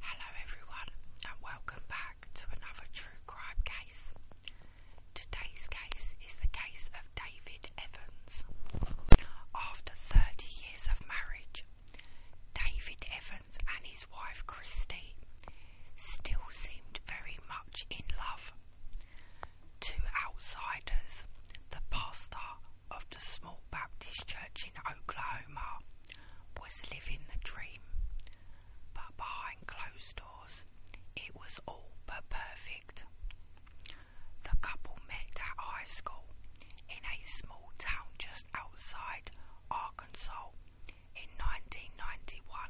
Hello, everyone, and welcome back to another true crime case. Today's case is the case of David Evans. After 30 years of marriage, David Evans and his wife Christy still seemed very much in love. Two outsiders, the pastor of the small Baptist church in Oklahoma was living the dream, but behind closed doors, it was all but perfect. The couple met at high school in a small town just outside Arkansas in 1991.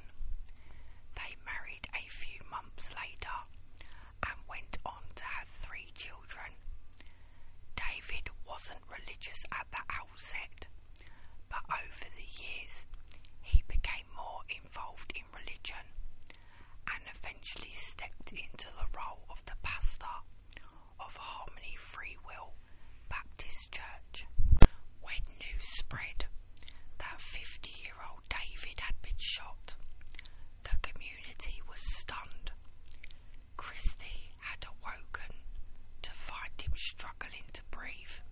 They married a few months later and went on to have three children David wasn't religious at the outset, but over the years he became more involved in religion and eventually stepped into the role of the pastor of Harmony Free Will Baptist Church. When news spread that 50 year old David had been shot, the community was stunned. Christie had awoken to find him struggling to breathe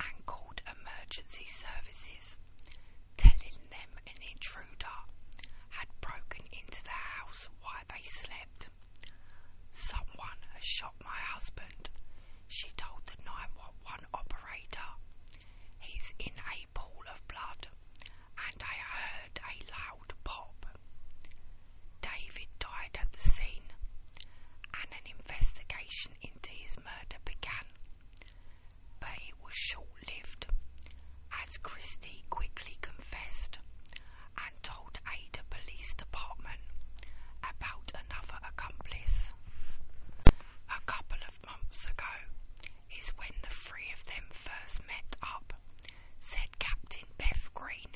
and called emergency services, telling them an intruder had broken into the house while they slept. Someone has shot my husband, she told the 911 operator. He's in a pool of blood and I heard a loud pop. David died at the scene, and an investigation into his murder began, but it was short lived, as Christie quickly confessed and told Ada Police Department about another accomplice. A couple of months ago, is when the three of them first met up, said Captain Beth Green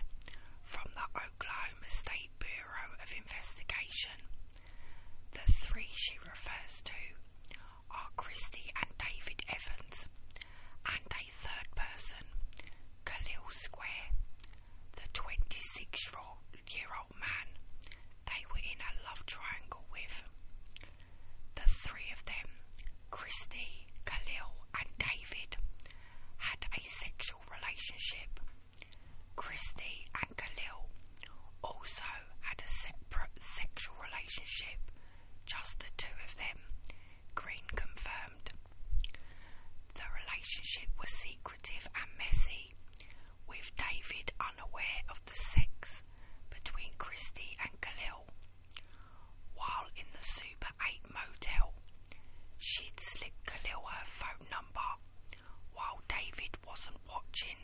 from the Oklahoma State Bureau of Investigation. The three she refers to are Christy and David Evans, and a third person, Khalil Square, the 26 year old man they were in a love triangle with. The three of them, Christy, Khalil, and David, had a sexual relationship. Christy and Khalil also had a separate sexual relationship, just the two of them, Green confirmed. The relationship was secretive and messy, with David unaware of the sex between Christie and Khalil. While in the Super 8 motel, she'd slip Khalil her phone number while David wasn't watching,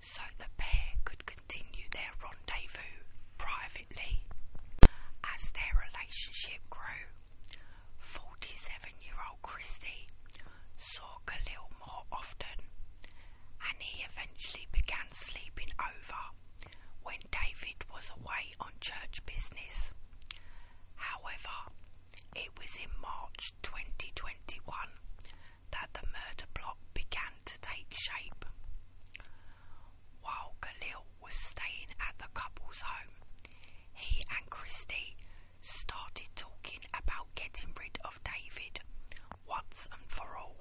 so the pair could continue their rendezvous privately. As their relationship grew, 47 year old Christie saw Khalil more often and he eventually began sleeping over when David was away on church business. However, it was in March 2021 that the murder plot began to take shape. While Khalil was staying at the couple's home, he and Christy started talking about getting rid of David once and for all.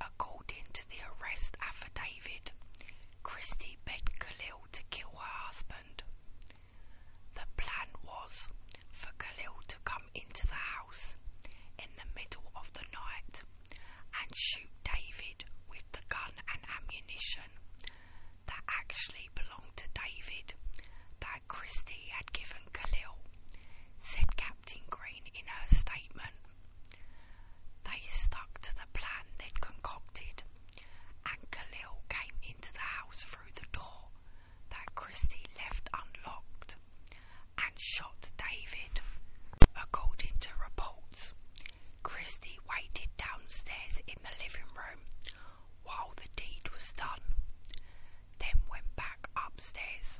According to the arrest affidavit, Christie begged Khalil to kill her husband. The plan was for Khalil to come into the house in the middle of the night and shoot David with the gun and ammunition that actually belonged to David that Christie had given Khalil, said Captain Green in her statement. They stuck to the plan they'd concocted, and Khalil came into the house through the door that Christie left unlocked and shot David. According to reports, Christie waited downstairs in the living room while the deed was done, then went back upstairs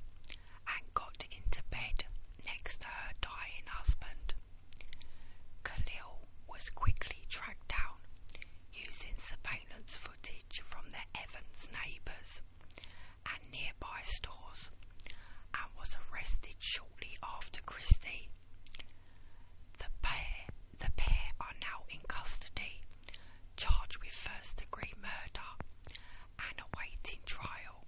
and got into bed next to her dying husband. Khalil was quickly tracked down using surveillance footage from the Evans neighbours and nearby stores and was arrested shortly after Christie the pair, the pair are now in custody, charged with first-degree murder and awaiting trial.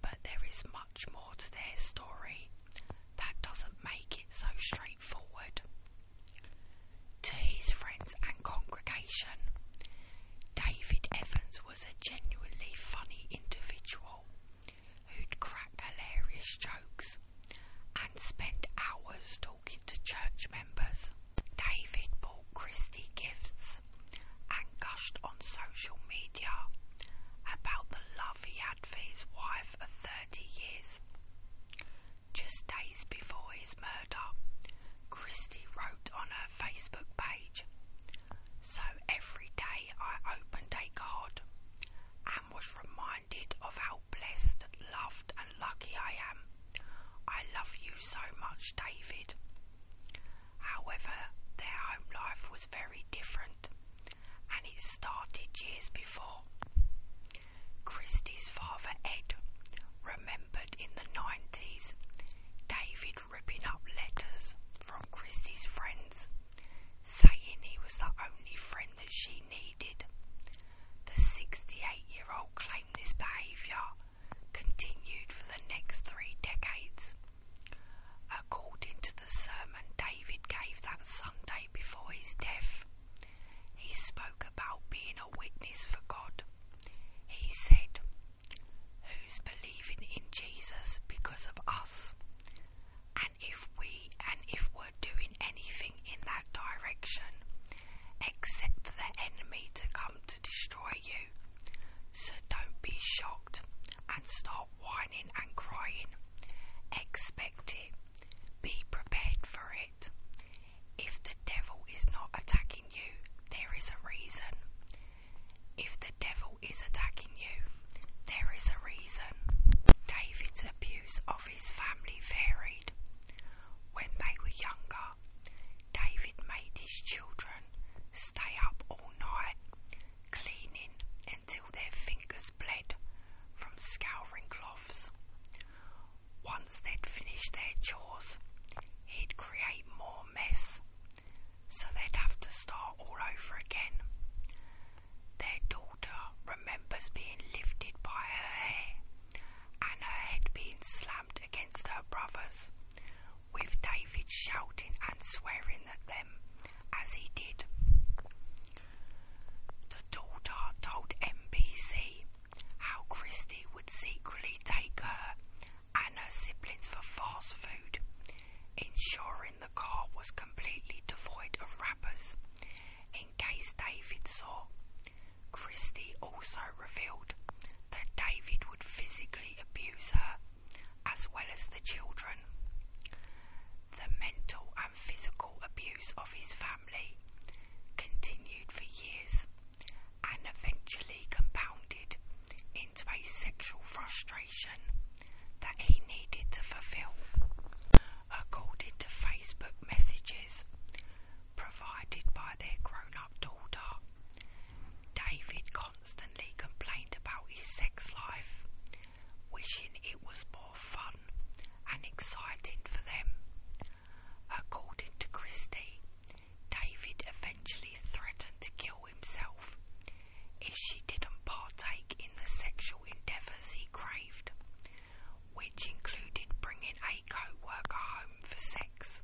But there is much more to their story that doesn't make it so straightforward. To his friends and congregation, David Evans was a genuinely funny individual who'd cracked hilarious jokes and spent hours talking to church members. David bought Christie gifts and gushed on social media about the love he had for his wife of 30 years. Just days before his murder, Christie wrote on her Facebook page, So every day I opened a card was reminded of how blessed, loved, and lucky I am. I love you so much, David. However, their home life was very different, and it started years before. Christie's father, Ed, remembered in the 90s David ripping up letters from Christie's friends, saying he was the only friend that she needed. The 68 year old claimed this behaviour continued for the next three decades. According to the sermon David gave that Sunday before his death, he spoke about being a witness for God. He said, Who's believing in Jesus because of us? and if we and if we're doing anything in that direction except for the enemy to come to destroy you. So don't be shocked and start whining and crying. Expect it. Be prepared for it. If the devil is not attacking you, there is a reason. If the devil is attacking you, there is a reason. David's abuse of his family varied. When they were younger, David made his children stay up all night, cleaning until their fingers bled from scouring cloths. Once they'd finished their chores, he'd create more mess so they'd have to start all over again. Their daughter remembers being lifted by her hair and her head being slammed against her brother's, with David shouting and swearing at them as he did. The daughter told NBC how Christie would secretly take her and her siblings for fast food, ensuring the car was completely devoid of wrappers. In case David saw, Christie also revealed that David would physically abuse her as well as the children. The mental and physical abuse of his family continued for years and eventually compounded into a sexual frustration that he needed to fulfill. According to Facebook messages provided by their grown up daughter, David constantly complained about his sex life, wishing it was more fun and exciting for them. According to Christie, David eventually threatened to kill himself if she didn't partake in the sexual endeavours he craved, which included bringing a co-worker home for sex.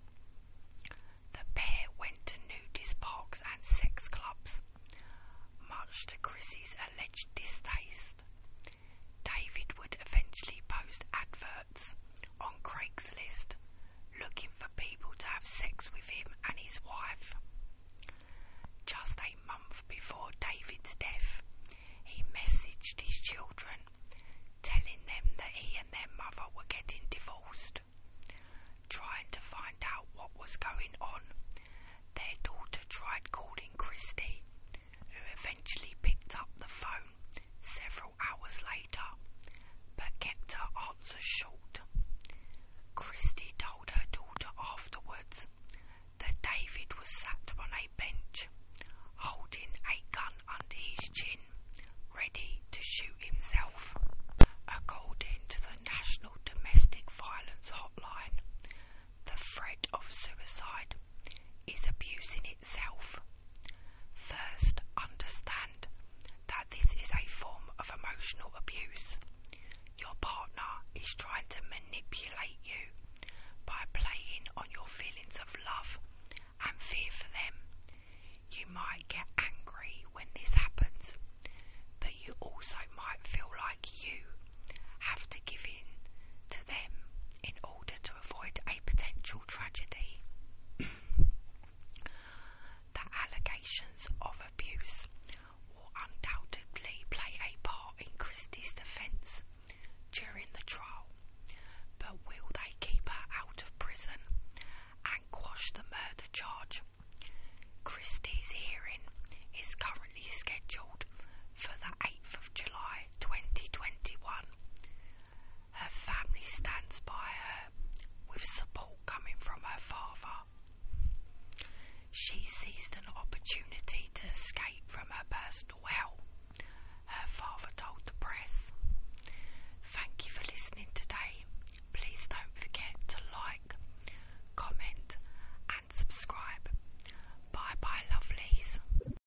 The pair went to nudist parks and sex clubs, much to Chris's alleged distaste. David would eventually post adverts on Craigslist looking for people to have sex with him and his wife. Just a month before David's death, he messaged his children, telling them that he and their mother were getting divorced. Trying to find out what was going on, their daughter tried calling Christy, who eventually picked up the phone several hours later, but kept her answer short. Christie told her daughter afterwards that David was sat on a bench, holding a gun under his chin, ready to shoot himself. According to the National Domestic Violence Hotline, the threat of suicide is abusing itself First, understand that this is a form of emotional abuse. Your partner is trying to manipulate you by playing on your feelings of love and fear for them. You might get angry when this happens, but you also might feel like you have to give in to them in order to avoid a potential tragedy. The allegations of abuse will undoubtedly play a part in Christie's defence during the trial, but will they keep her out of prison and quash the murder charge? Christie's hearing is currently scheduled for the 8th of July 2021. Her family stands by her with support coming from her father. She seized an opportunity to escape from her personal hell, her father told the press. Thank you for listening today. Please don't forget to like, comment, and subscribe. Bye bye, lovelies.